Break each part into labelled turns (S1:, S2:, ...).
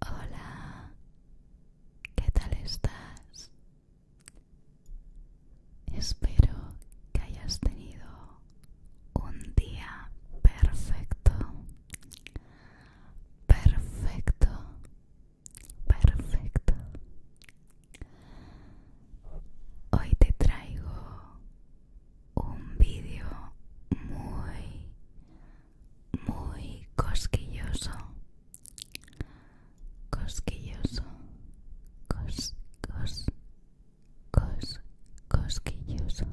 S1: Hola, ¿qué tal estás? Espero que hayas tenido un día perfecto, perfecto, perfecto. Hoy te traigo un vídeo muy muy cosquilloso cosquilloso cos cosquilloso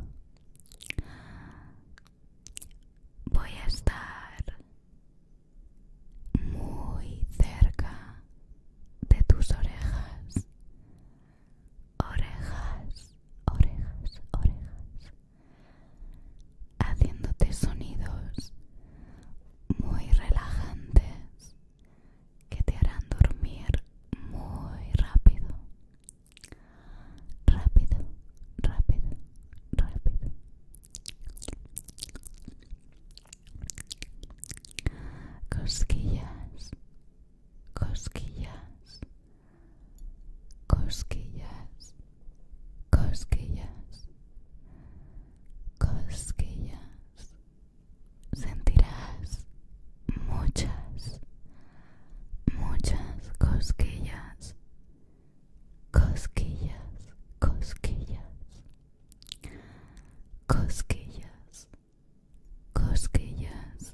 S1: voy a estar muy cerca de tus orejas orejas orejas orejas haciéndote sonidos muy relajantes que te harán dormir muy rápido. Rápido, rápido, rápido. Cosquillas, cosquillas, cosquillas, cosquillas, cosquillas. Sentirás muchas, muchas cosquillas, cosquillas, cosquillas, cosquillas, cosquillas,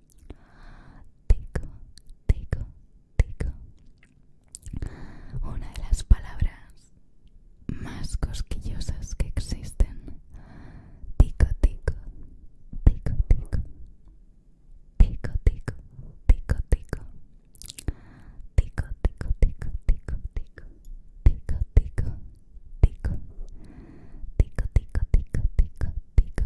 S1: Tico, tico, tico. Una de las palabras más cosquillosas que existen. Tico, tico, tico, tico. Tico, tico, tico, tico. Tico, tico, tico, tico, tico. Tico, tico, tico. Tico, tico, tico, tico, tico.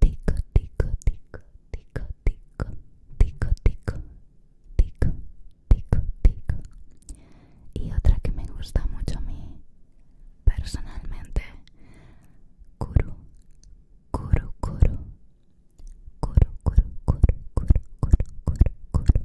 S1: tico, tico, tico, tico, tico, tico, tico, tico, tico, tico. Y otra que me gusta mucho a mí personalmente, Kuru, Kuru, Kuru, Kuru, Kuru, Kuru, Kuru, Kuru,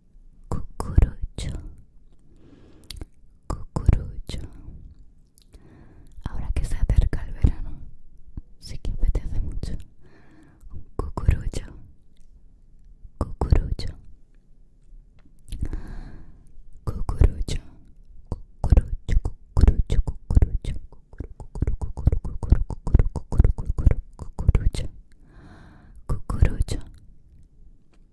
S1: cucurucho cucurucho ahora que se acerca el verano sí que apetece mucho Cucurucho. cucurucho cucurucho cucurucho cucurucho cucurucho cucurucho cucurucho cucurucho cucurucho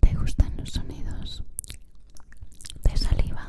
S1: ¿Te gustan los sonidos de saliva?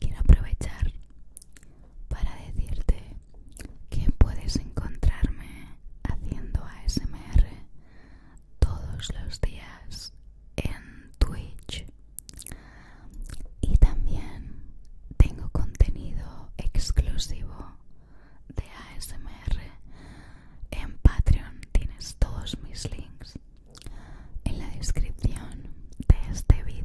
S1: Quiero aprovechar para decirte que puedes encontrarme haciendo ASMR todos los días en Twitch y también tengo contenido exclusivo de ASMR en Patreon. Tienes todos mis links en la descripción de este vídeo.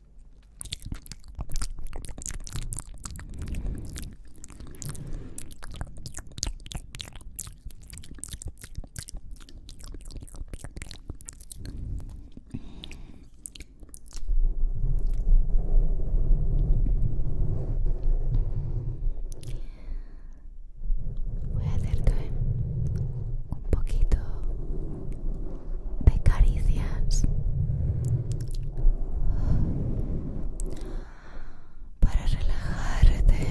S1: Voy a hacerte un poquito de caricias para relajarte.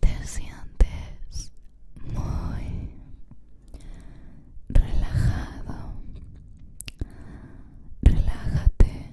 S1: Te sientes muy relajado. Relájate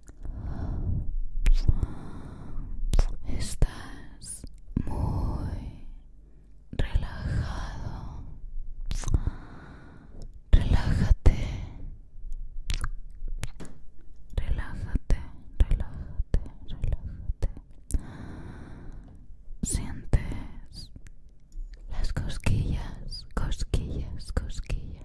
S1: Estás muy relajado. Relájate. Relájate, relájate, relájate. Sientes las cosquillas, cosquillas, cosquillas.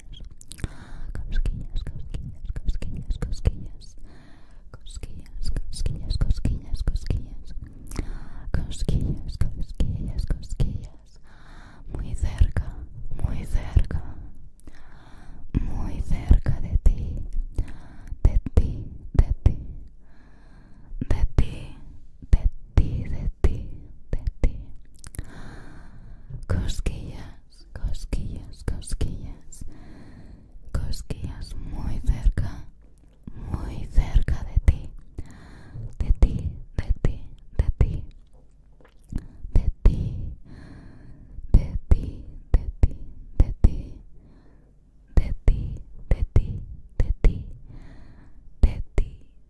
S1: cosquillas, cosquillas, cosquillas, cosquillas, cosquillas, cosquillas, cosquillas, cosquillas, cosquillas, cosquillas, muy cerca, muy cerca, muy cerca de ti, de ti, de ti, de ti, de ti, de ti, de ti. Cosquillas, cosquillas, cosquillas. Cosquillas muy cerca, muy cerca de ti. De ti, de ti, de ti. De ti, de ti, de ti, de ti. De ti, de ti, de ti. De ti,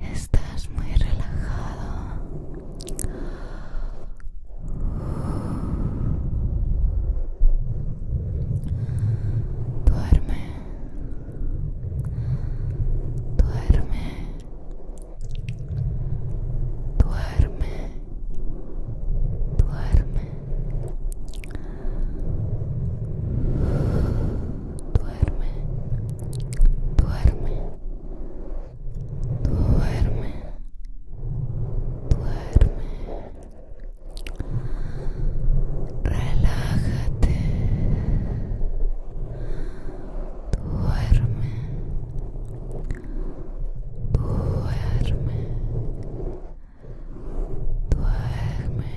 S1: estás muy relajado duerme duerme duerme duerme duerme duerme duerme, duerme, relájate, duerme, duerme, duerme.